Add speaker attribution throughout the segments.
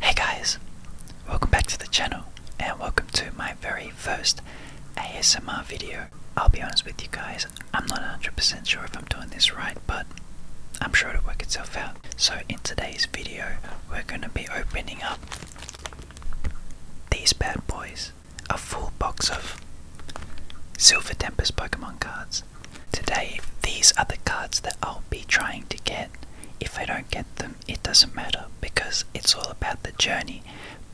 Speaker 1: Hey guys, welcome back to the channel and welcome to my very first ASMR video. I'll be honest with you guys, I'm not 100% sure if I'm doing this right, but I'm sure it'll work itself out. So in today's video, we're going to be opening up these bad boys, a full box of Silver Tempest Pokemon cards. Today, these are the cards that I'll be trying to get if I don't get them, it doesn't matter because it's all about the journey.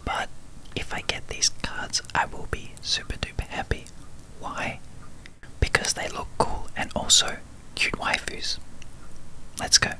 Speaker 1: But if I get these cards, I will be super duper happy. Why? Because they look cool and also cute waifus. Let's go.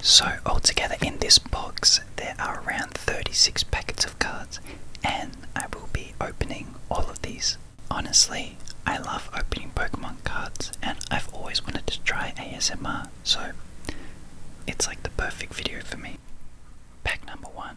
Speaker 1: So, altogether in this box, there are around 36 packets of cards and I will be opening all of these. Honestly, I love opening Pokemon cards and I've always wanted to try ASMR, so it's like the perfect video for me. Pack number one.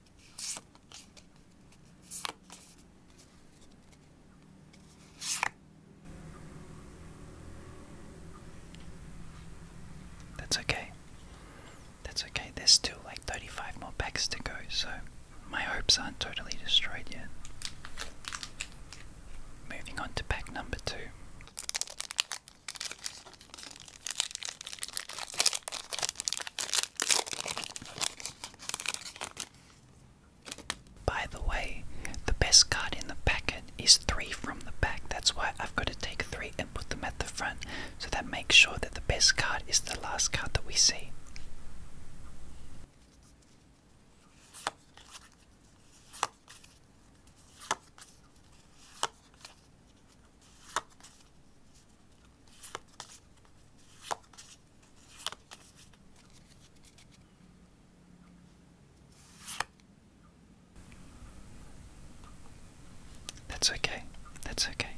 Speaker 1: That's okay. That's okay. There's still like 35 more packs to go, so my hopes aren't totally destroyed yet. Moving on to pack number two. By the way, the best card in the packet is three from the back. That's why I've got to take three and put them at the front so that makes sure that the best card is the last card that we see. That's okay, that's okay.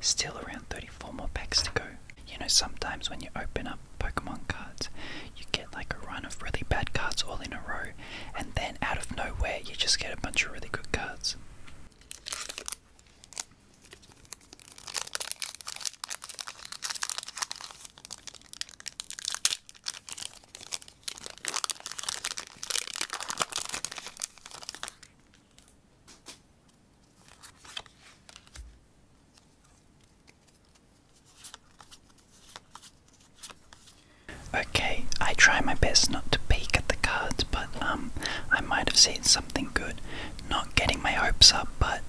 Speaker 1: Still around 34 more packs to go. You know, sometimes when you open up Pokemon cards, you get like a run of really bad cards all in a row, and then out of nowhere, you just get a bunch of really good cards. Okay, I try my best not to peek at the cards, but um, I might have seen something good not getting my hopes up, but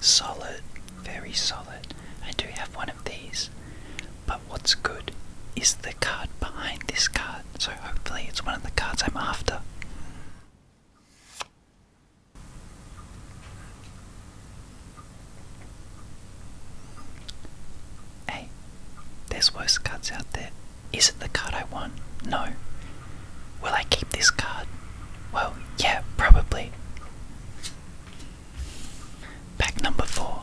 Speaker 1: Solid, very solid. I do have one of these, but what's good is the card behind this card, so hopefully it's one of the cards I'm after. Hey, there's worse cards out there. Is it the card I want? No. Will I keep this card? Well, yeah, probably. Pack number four.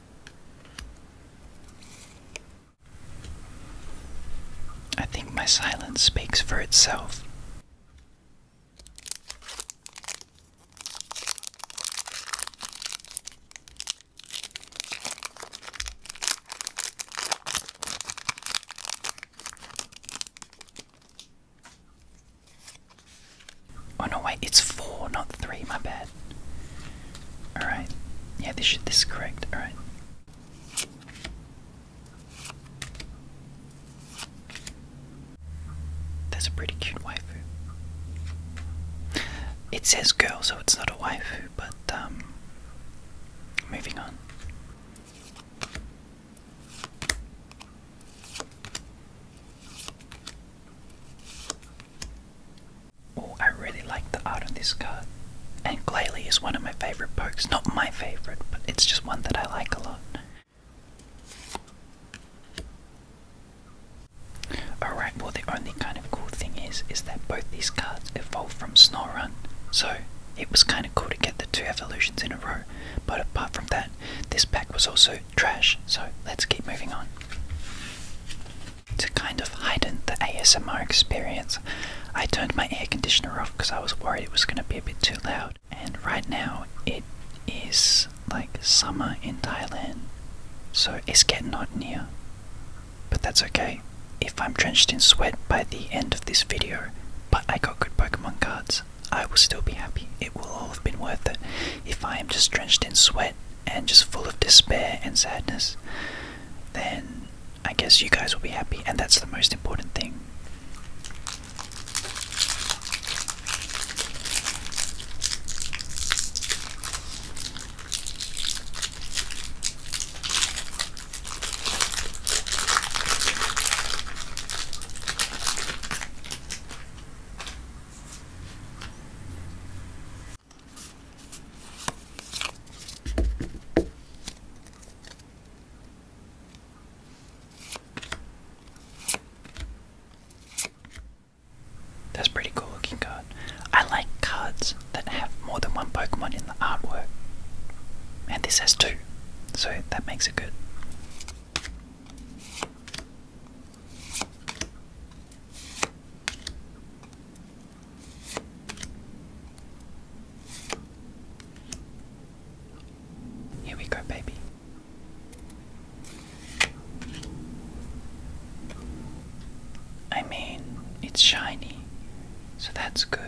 Speaker 1: I think my silence speaks for itself. Oh no, wait, it's four, not three. My bad. All right. Yeah, this should, this is correct. All right. That's a pretty cute waifu. It says girl, so it's not a waifu, but um, moving on. Oh, I really like the art on this card. And Glalie is one of my favorite pokes. Not my favorite, but it's just one that I like a lot. Alright, well the only kind of cool thing is is that both these cards evolved from Snorunt, so it was kinda cool to get the two evolutions in a row. But apart from that, this pack was also trash, so let's keep moving on. To kind of heighten the ASMR experience, I turned my air conditioner off because I was worried it was going to be a bit too loud. And right now it is like summer in Thailand, so it's getting hot near. But that's okay if I'm drenched in sweat by the end of this video, but I got good Pokemon cards. I will still be happy. It will all have been worth it. If I am just drenched in sweat and just full of despair and sadness, then I guess you guys will be happy, and that's the most important thing. That's pretty cool looking card. I like cards that have more than one Pokemon in the artwork. And this has two, so that makes it good. Here we go, baby. I mean, it's shiny, so that's good.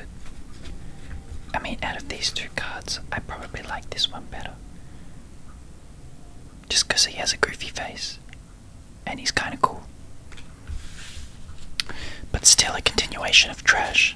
Speaker 1: I mean, out of these two cards, I probably like this one better just because he has a goofy face and he's kind of cool. But still, a continuation of trash.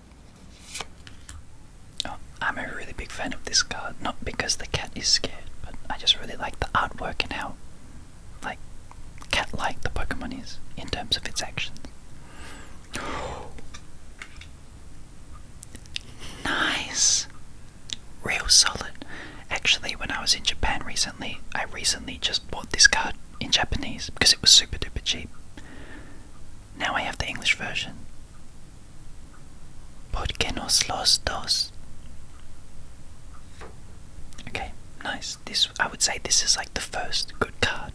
Speaker 1: Oh, I'm a really big fan of this card, not because the cat is scared, but I just really like the artwork and how, like, cat-like the Pokemon is in terms of its actions. nice! Real solid. Actually, when I was in Japan recently, I recently just bought this card in Japanese because it was super duper cheap. Now I have the English version. ¿Por qué dos? Okay, nice. This I would say this is like the first good card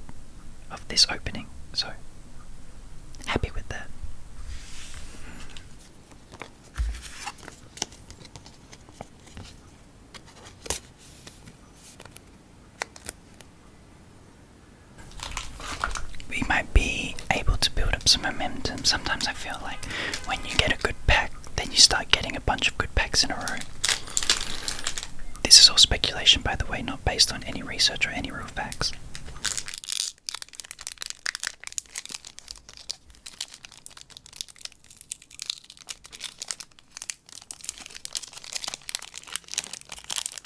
Speaker 1: of this opening, so happy with that. We might be able to build up some momentum. Sometimes I feel like when you get a good pack, then you start getting a bunch of good packs in a row. This is all speculation, by the way, not based on any research or any real facts.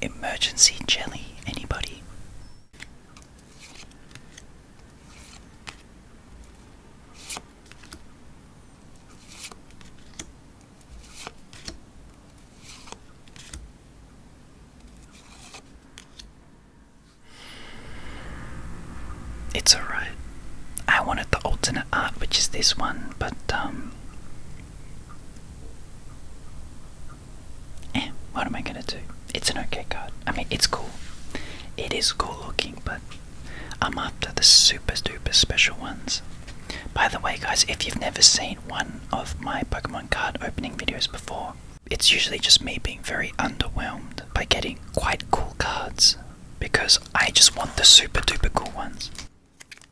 Speaker 1: Emergency jelly, anybody? It's alright. I wanted the alternate art, which is this one, but um, Eh, what am I gonna do? It's an okay card. I mean, it's cool. It is cool looking, but I'm after the super duper special ones. By the way, guys, if you've never seen one of my Pokemon card opening videos before, it's usually just me being very underwhelmed by getting quite cool cards because I just want the super duper cool ones.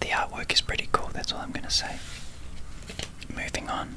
Speaker 1: The artwork is pretty cool, that's all I'm going to say. Moving on,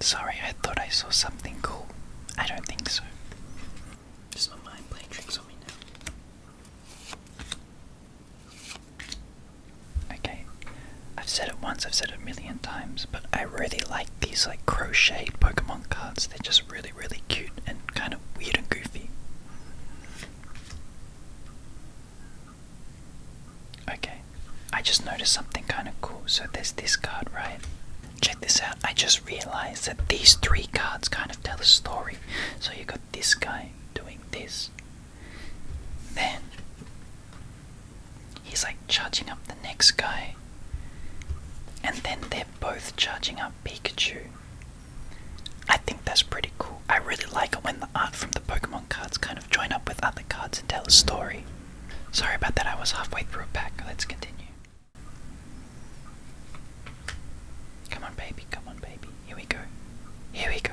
Speaker 1: Sorry, I thought I saw something cool. I don't think so. Just my mind playing tricks on me now. Okay. I've said it once, I've said it a million times, but I really like these like crocheted Pokemon cards. They're just really, really cute and kind of weird and goofy. Okay. I just noticed something kind of cool. So there's this card, right? Check this out. I just realized that these three cards kind of tell a story. So you got this guy doing this. Then He's like charging up the next guy. And then they're both charging up Pikachu. I think that's pretty cool. I really like it when the art from the Pokemon cards kind of join up with other cards and tell a story. Sorry about that, I was halfway through a pack. Let's continue. Come on, baby, come on, baby. Here we go. Here we go.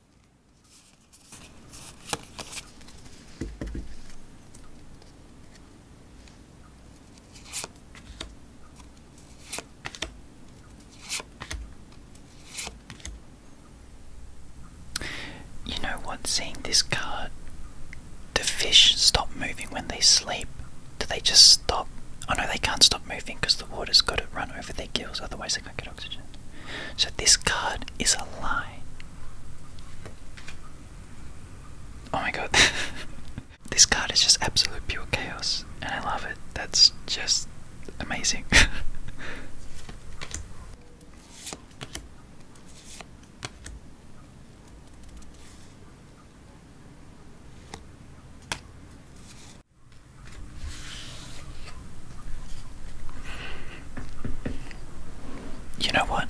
Speaker 1: You know what? Seeing this card, the fish stop moving when they sleep? Do they just stop? I oh, know they can't stop moving because the water's got to run over their gills, otherwise, they can't get oxygen. So, this card is a lie. Oh my god. this card is just absolute pure chaos, and I love it. That's just amazing. You know what?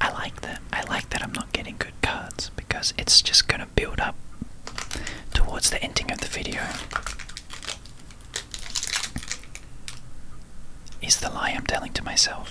Speaker 1: I like that. I like that I'm not getting good cards because it's just gonna build up towards the ending of the video. Is the lie I'm telling to myself.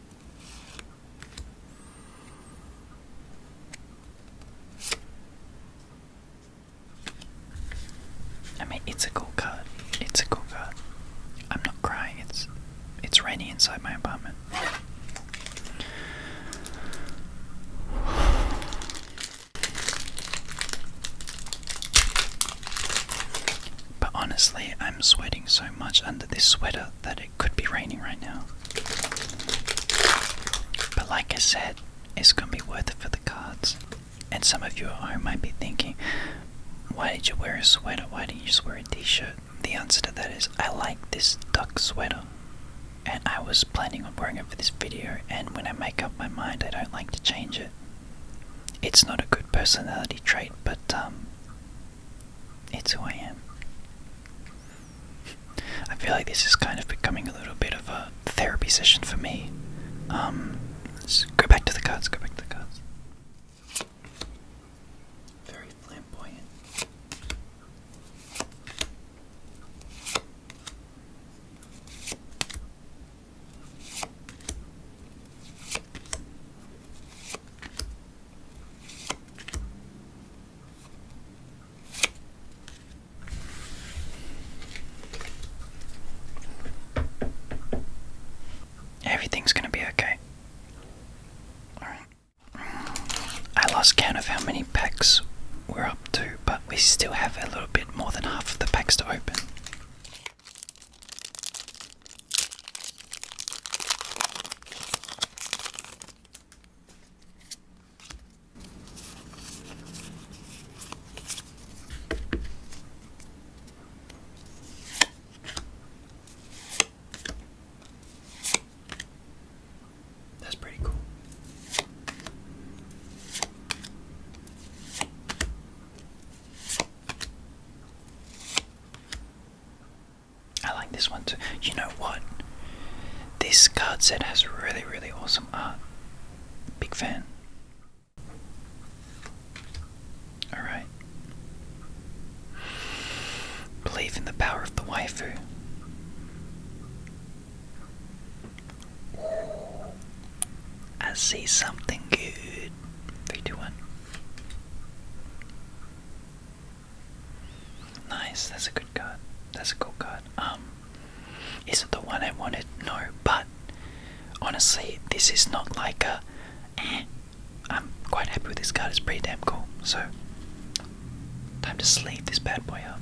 Speaker 1: I mean, it's a cool cut. It's a cool cut. I'm not crying. It's it's rainy inside my apartment. But honestly, I'm sweating so much under this sweater that it it could be raining right now. But like I said, it's gonna be worth it for the cards. And some of you at home might be thinking, why did you wear a sweater? Why didn't you just wear a t shirt? The answer to that is, I like this duck sweater. And I was planning on wearing it for this video, and when I make up my mind, I don't like to change it. It's not a good personality trait, but um, it's who I am. I feel like this is kind of becoming a little bit of a therapy session for me. let's um, go back to the cards, go back to the cards. Very flamboyant. Everything's gonna be okay. Alright. I lost count of how many packs we're up to, but we still have a little bit more than half of the packs to open. That's pretty cool. I like this one too. You know what? This card set has really, really awesome art. Big fan. Alright. Believe in the power of the waifu. I see something good. Three, two, one. Nice, that's a good card. That's a good card. Um, is not the one I wanted? No, but honestly, this is not like a. am eh. quite happy with this card. It's pretty damn cool. So, time to sleeve this bad boy up.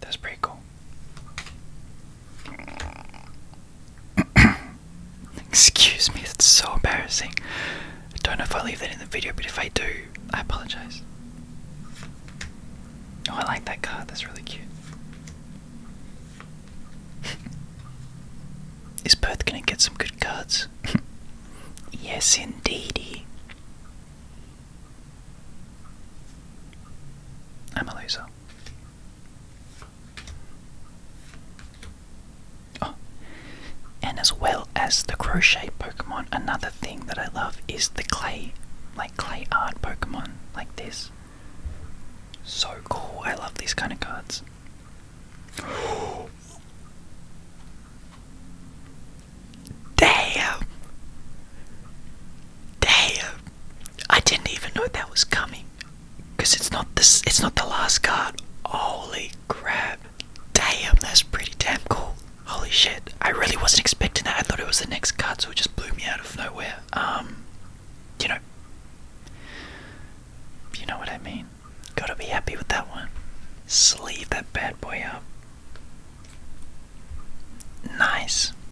Speaker 1: That's pretty cool. Excuse me, that's so embarrassing. I don't know if I leave that in the video, but if I do, I apologize. Oh, I like that card, that's really cute. Is Perth gonna get some good cards? yes, indeed, I'm a Oh. And as well as the crochet Pokemon, another thing that I love is the clay, like clay art Pokemon, like this. So cool, I love these kind of cards. Damn! Damn! I didn't even know that was coming. Cause it's not this it's not the last card. Holy crap. Damn, that's pretty damn cool. Holy shit. I really wasn't expecting that. I thought it was the next card, so it just blew me out of nowhere. Um you know You know what I mean? Gotta be happy with that one. Sleeve that bad boy up. Nice.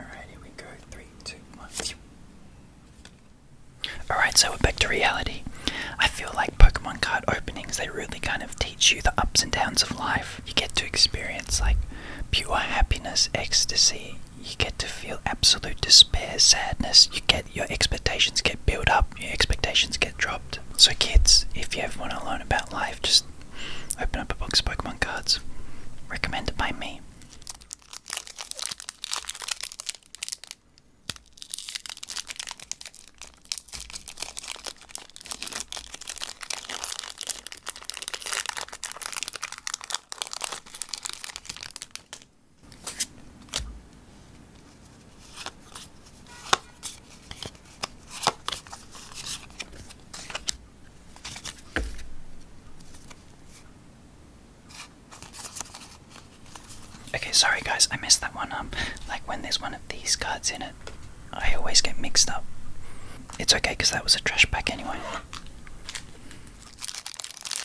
Speaker 1: Alright, here we go. Three, two, one. Alright, so we're back to reality. I feel like Pokemon card openings, they really kind of teach you the ups and downs of life. You get to experience like pure happiness, ecstasy, you get to feel absolute despair, sadness. You get your expectations get built up, your expectations get dropped. So, kids, if you ever want to learn about life, just open up a box of Pokemon cards. Recommended by me. Okay, sorry guys, I missed that one um, Like when there's one of these cards in it, I always get mixed up. It's okay because that was a trash pack anyway.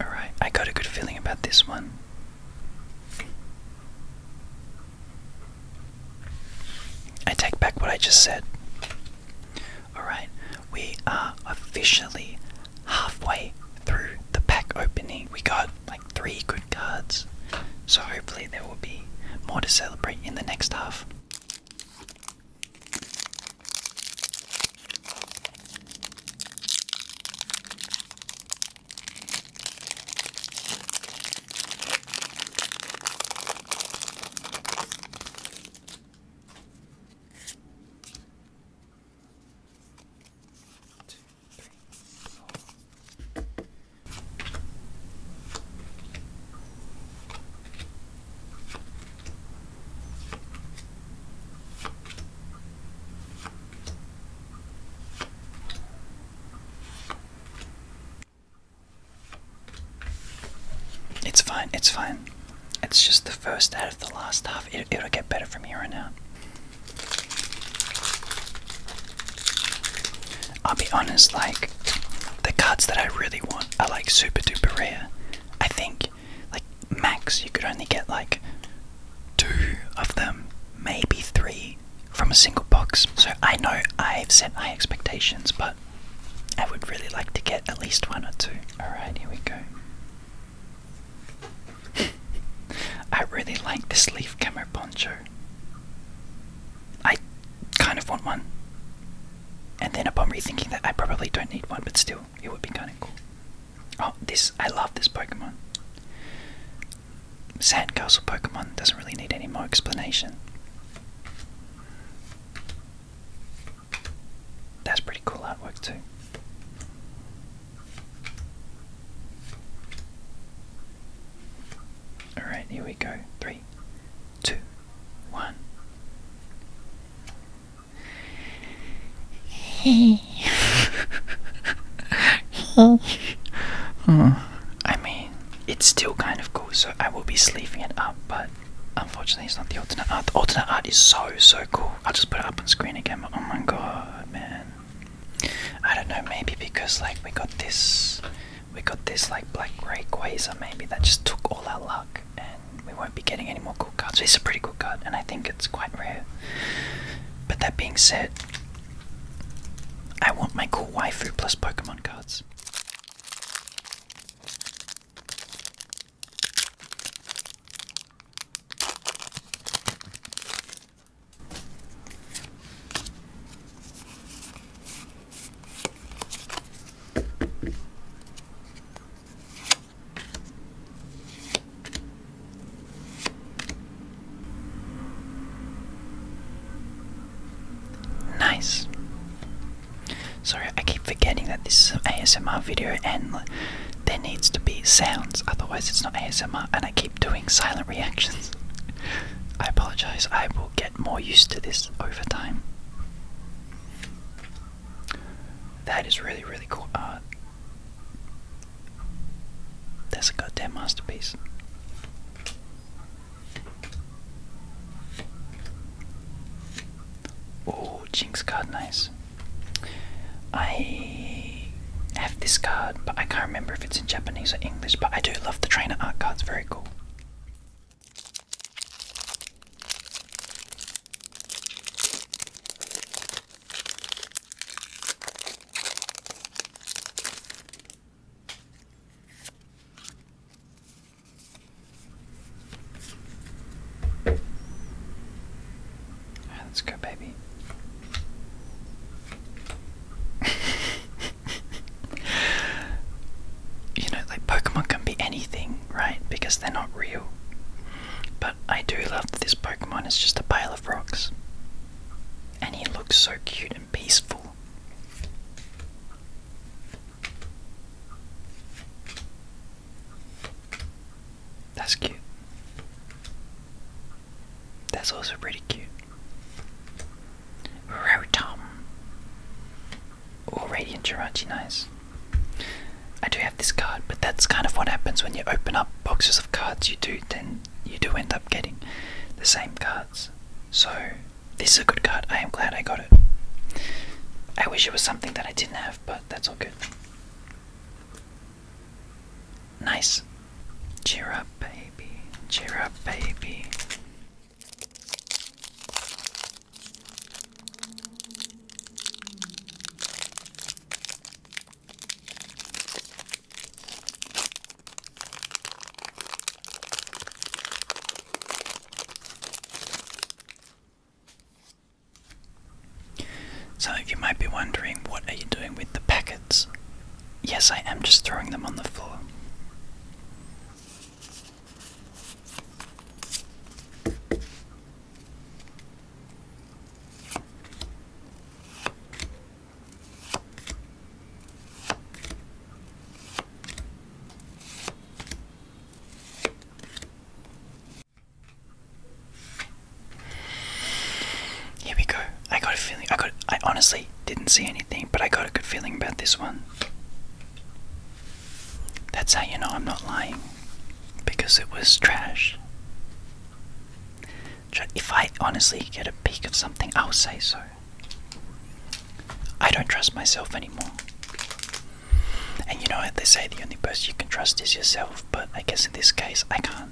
Speaker 1: Alright, I got a good feeling about this one. I take back what I just said. Alright, we are officially halfway through the pack opening. We got like three good cards. So hopefully there will be more to celebrate in the next half. It's fine, it's fine. It's just the first out of the last half. It, it'll get better from here on out. I'll be honest, like the cards that I really want are like super duper rare. I think like max you could only get like two of them, maybe three from a single box. So I know I've set my expectations, but I would really like to get at least one or two. Alright, here we go. I really like this leaf camera poncho. I kind of want one. And then upon rethinking that, I probably don't need one, but still, it would be kind of cool. Oh, this, I love this Pokemon. Sandcastle Pokemon doesn't really need any more explanation. That's pretty cool artwork, too. All right, here we go. Three, two, one. oh, I mean, it's still kind of cool, so I will be sleeving it up, but unfortunately, it's not the alternate art. The alternate art is so, so cool. I'll just put it up on screen again. But oh my god, man. I don't know, maybe because like we got this we got this like black grey quasar maybe that just took all our luck and we won't be getting any more cool cards. It's a pretty cool card and I think it's quite rare. But that being said, I want my cool waifu plus Pokemon cards. Nice. Sorry, I keep forgetting that this is an ASMR video and there needs to be sounds, otherwise it's not ASMR, and I keep doing silent reactions. I apologize, I will get more used to this over time. That is really, really cool That's a goddamn masterpiece. Oh, Jinx card, nice. I have this card, but I can't remember if it's in Japanese or English, but I do love the trainer art cards, very cool. Alright, let's go, baby. you know, like Pokemon can be anything, right? Because they're not real. But I do love that this Pokemon is just a pile of rocks. And he looks so cute and peaceful. That's cute. That's also pretty cute. Rotom. Or Radiant Jirachi, I do have this card, but that's kind of what happens when you open up boxes of cards you do then you do end up getting the same cards. So this is a good card. I am glad I got it. I wish it was something that I didn't have, but that's all good. Nice. Cheer up, baby. Cheer up, baby. Some of you might be wondering, what are you doing with the packets? Yes, I am just throwing them on the floor. Here we go. I got a feeling. I got. I honestly didn't see anything, but I got a good feeling about this one. That's how you know I'm not lying, because it was trash. If I honestly get a peek of something, I'll say so. I don't trust myself anymore. And you know what they say the only person you can trust is yourself, but I guess in this case I can't.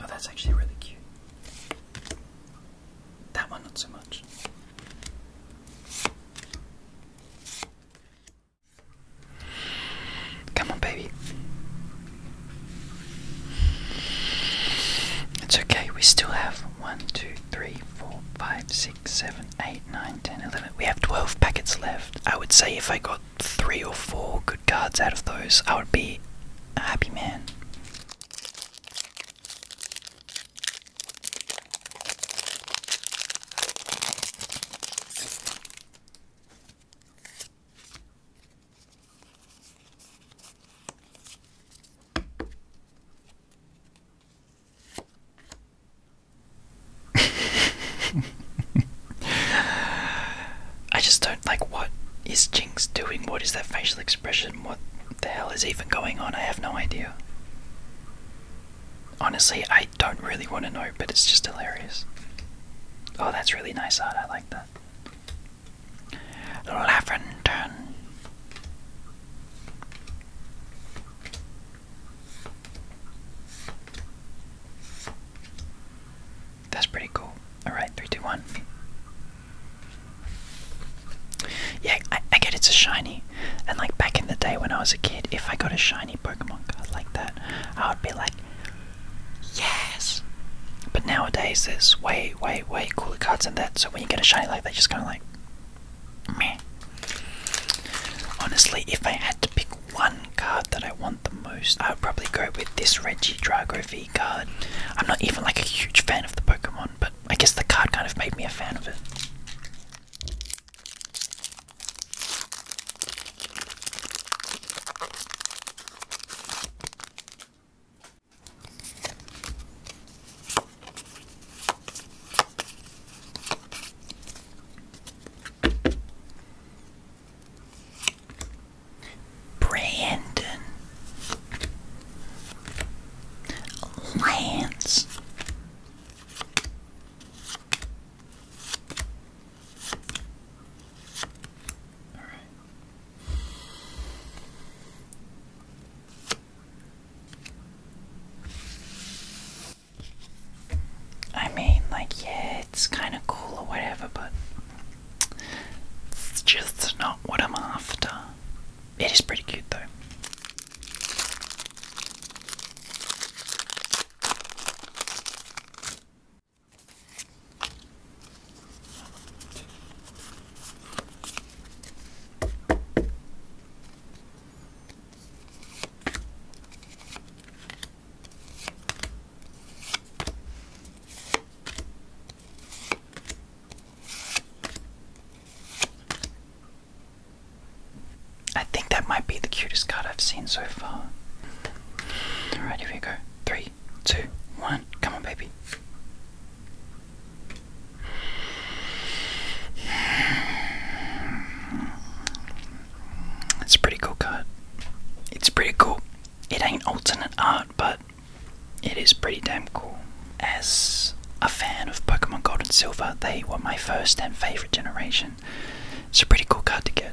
Speaker 1: Oh, that's actually really cute. That one, not so much. Come on, baby. It's okay, we still have one, two, three, four, five, six, seven, eight, nine, ten, eleven. We have 12 packets left. I would say if I got three or four good cards out of those, I would be a happy man. I just don't like what is Jinx doing? What is that facial expression? What the hell is even going on? I have no idea. Honestly, I don't really want to know, but it's just hilarious. Oh, that's really nice art. I like that. Laventon. That's pretty cool. Alright, three, two, one. Yeah, I, I get it's a shiny. And like back in the day when I was a kid, if I got a shiny Pokemon card like that, I would be like, yes! But nowadays there's way, way, way cooler cards than that. So when you get a shiny like that, just kind of like, meh. Honestly, if I had to pick one card that I want the most, I would probably go with this Reggie Drago V card. I'm not even like a huge fan of the Pokemon, but I guess the card kind of made me a fan of it. Brandon Lance All right. I mean, like, yeah, it's kind of cool or whatever, but it's just not what I'm after. It is pretty cute, though. I think that might be the cutest card I've seen so far. Alright, here we go. Three, two, one. Come on, baby. It's a pretty cool card. It's pretty cool. It ain't alternate art, but it is pretty damn cool. As a fan of Pokemon Gold and Silver, they were my first and favorite generation. It's a pretty cool card to get.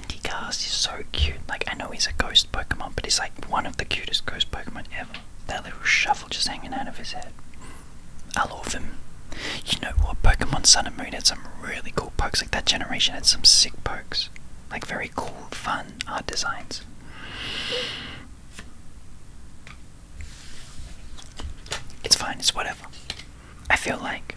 Speaker 1: Manticast so cute. Like, I know he's a ghost Pokemon, but he's like one of the cutest ghost Pokemon ever. That little shuffle just hanging out of his head. I love him. You know what? Pokemon Sun and Moon had some really cool pokes. Like, that generation had some sick pokes. Like, very cool, fun art designs. It's fine, it's whatever. I feel like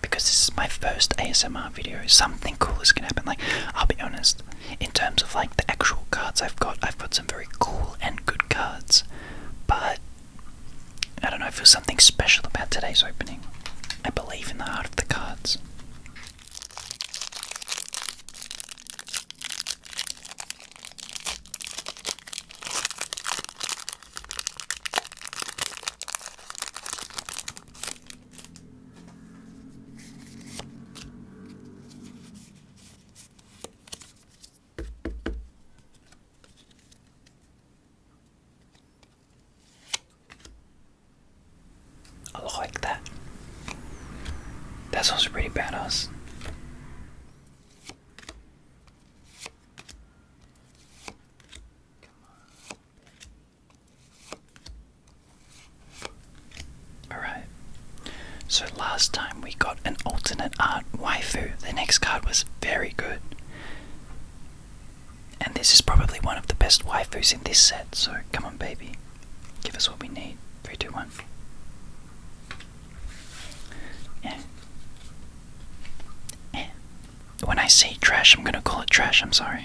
Speaker 1: because this is my first ASMR video, something cool is gonna happen. Like, I'll be honest, in terms of like the actual cards I've got, I've got some very cool and good cards, but I don't know, I feel something special about today's opening. I believe in the heart of the cards. I like that. That sounds pretty badass. Alright. So last time we got an alternate art waifu. The next card was very good. And this is probably one of the best waifus in this set, so come on, baby. Give us what we need. Three, two, one. When I say trash, I'm gonna call it trash, I'm sorry.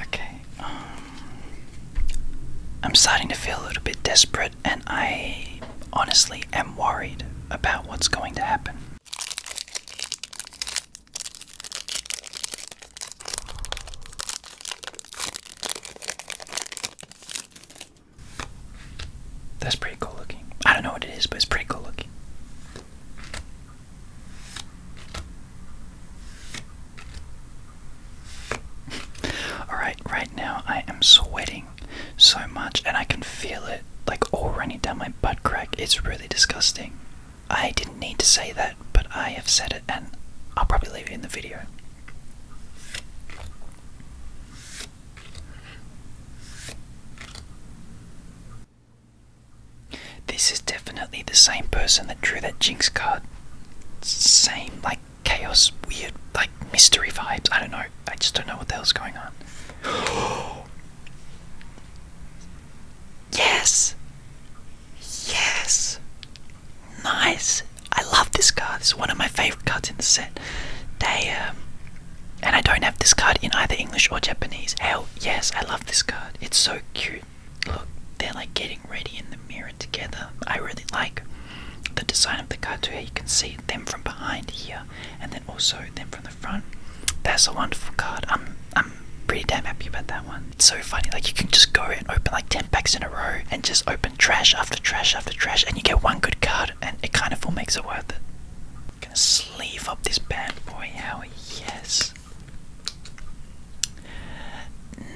Speaker 1: Okay, um, I'm starting to feel a little bit desperate and I honestly am worried about what's going to happen. That's pretty cool looking. I don't know what it is, but it's pretty cool looking. Alright, right now I am sweating so much, and I can feel it like all running down my butt crack. It's really disgusting. I didn't need to say that, but I have said it, and I'll probably leave it in the video. This is definitely the same person that drew that Jinx card. Same, like, chaos, weird, like mystery vibes. I don't know. I just don't know what the hell's going on. yes! Yes! Nice! I love this card. It's one of my favorite cards in the set. They, um, and I don't have this card in either English or Japanese. Hell yes, I love this card. It's so cute. Look, they're like getting ready in the mirror together. I really like the design of the card too. You can see them from behind here, and then also them from the front. That's a wonderful card. I'm I'm pretty damn happy about that one. It's so funny. Like you can just go and open like ten packs in a row, and just open trash after trash after trash, and you get one good card, and it kind of all makes it worth it. I'm gonna sleeve up this bad boy, Howie. Yes.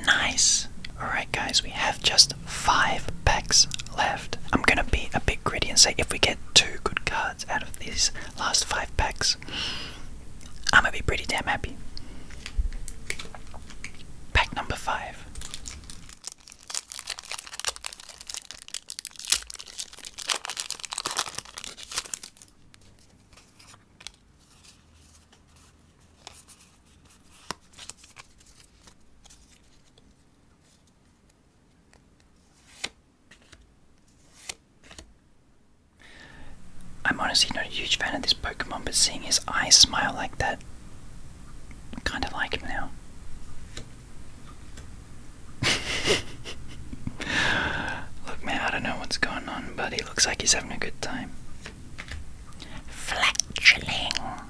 Speaker 1: Nice. Alright, guys, we have just five packs left. I'm gonna be a bit gritty and say if we get two good cards out of these last five packs, I'm gonna be pretty damn happy. Pack number five. I'm honestly not a huge fan of this Pokemon, but seeing his eyes smile like that, I kind of like him now. Look, man, I don't know what's going on, but he looks like he's having a good time. Flatulence.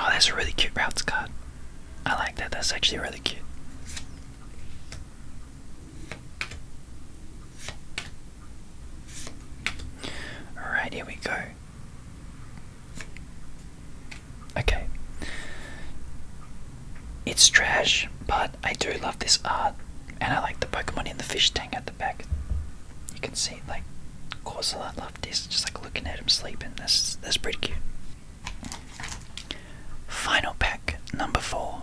Speaker 1: Oh, that's a really cute routes card. I like that. That's actually really cute. Alright, here we go. Okay. It's trash, but I do love this art, and I like the Pokemon in the fish tank at the back. You can see, like, of that. Just like looking at him sleeping. That's that's pretty cute. Final pack number four.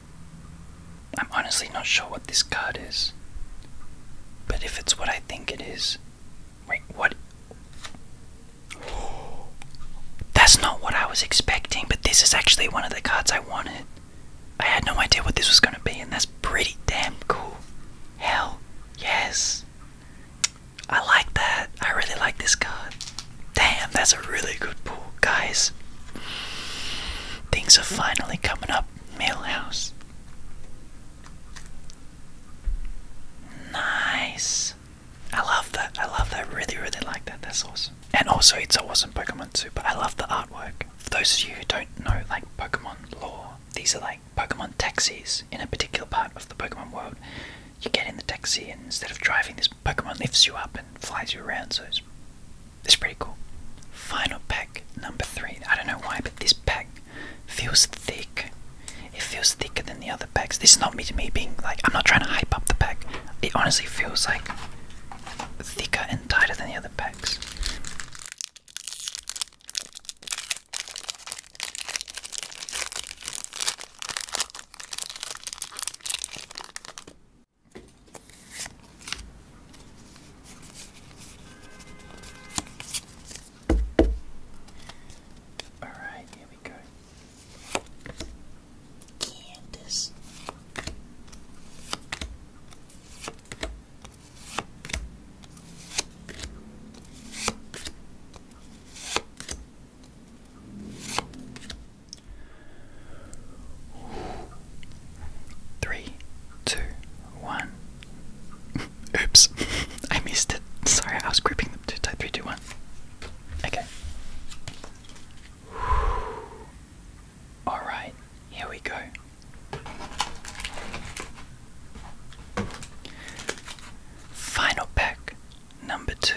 Speaker 1: I'm honestly not sure what this card is. But if it's what I think it is. Wait, what? That's not what I was expecting, but this is actually one of the cards I wanted. I had no idea what this was going to be, and that's pretty damn cool. Hell, yes. I like that. I really like this card. Damn, that's a really good pool, guys. Things are finally coming up up Millhouse. Nice. I love that. I love that. Really, really like that. That's awesome. And also, it's awesome Pokemon too. But I love the artwork. For those of you who don't know, like Pokemon lore, these are like Pokemon taxis in a particular part of the Pokemon world. You get in the taxi, and instead of driving, this Pokemon lifts you up and flies you around. So it's it's pretty cool. Final pack number three. I don't know why, but this pack feels thick. It feels thicker than the other packs. This is not me to me being like I'm not trying to hype up the pack. It honestly feels like thicker and tighter than the other packs. All right, here we go. Candace. Three, two, one. Oops, I missed it. Sorry, I was gripping them too tight. Three, two, one. Okay. Alright, here we go. Final pack number two.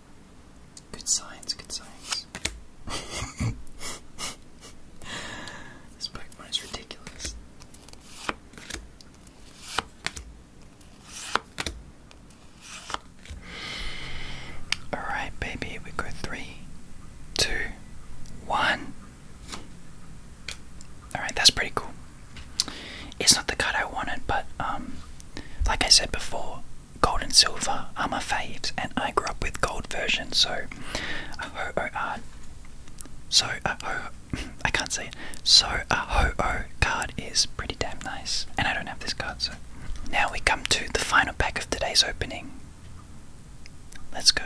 Speaker 1: Good science, good science. this Pokemon is ridiculous. Alright, baby, we go three, two, one. Alright, that's pretty cool. It's not the card I wanted, but um, like I said before, gold and silver are my faves, and I grew up with gold version. So, a ho o art. So a ho, I can't say it. So a ho o card is pretty damn nice, and I don't have this card. So now we come to the final pack of today's opening. Let's go.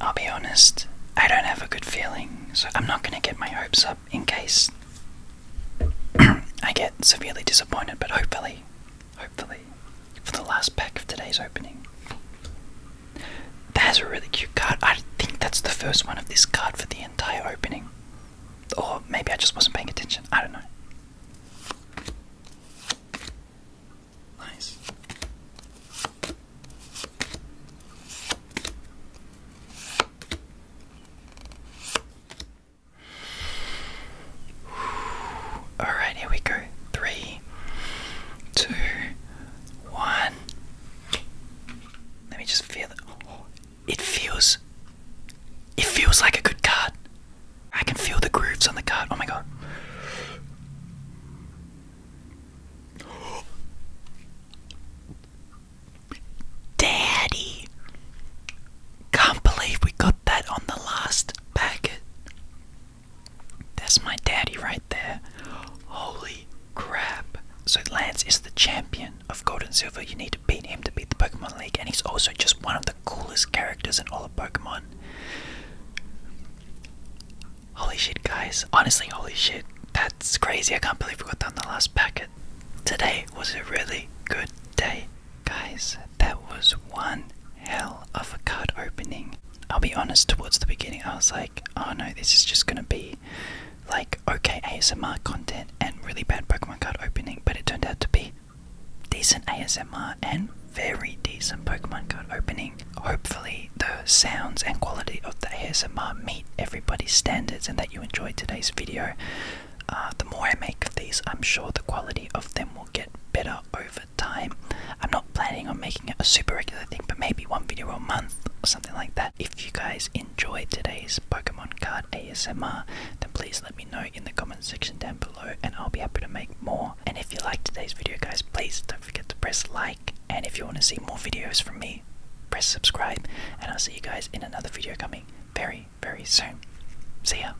Speaker 1: I'll be honest, I don't have a good feeling, so I'm not going to get my hopes up in case I get severely disappointed, but hopefully, hopefully, for the last pack of today's opening. that is a really cute card. I think that's the first one of this card for the entire opening. Or maybe I just wasn't paying attention. I don't know. Nice. Alright, here we go. Three, two, one. Let me just feel it it feels it feels like a good card. I can feel the grooves on the card. Oh my god. Daddy! Can't believe we got that on the last packet. That's my daddy right there. Holy Crab. So Lance is the champion of Gold and Silver. You need to beat him to beat the Pokemon League, and he's also just one of the coolest characters in all of Pokemon. Holy shit, guys. Honestly, holy shit. That's crazy. I can't believe we got down the last packet. Today was a really good day. Guys, that was one hell of a card opening. I'll be honest, towards the beginning, I was like, oh no, this is just gonna be like okay ASMR content and really bad Pokemon card opening, but it turned out to be decent ASMR and very decent Pokemon card opening. Hopefully, the sounds and quality of the ASMR meet everybody's standards and that you enjoyed today's video. Uh, the more I make of these, I'm sure the quality of them will get better over time. I'm not planning on making it a super regular thing, but maybe one video a month or something like that. If you guys enjoyed today's Pokemon card ASMR, then please let me know in the comments section down below and I'll be happy to make more. And if you liked today's video guys, please don't forget to press like. And if you want to see more videos from me, press subscribe. And I'll see you guys in another video coming very, very soon. See ya.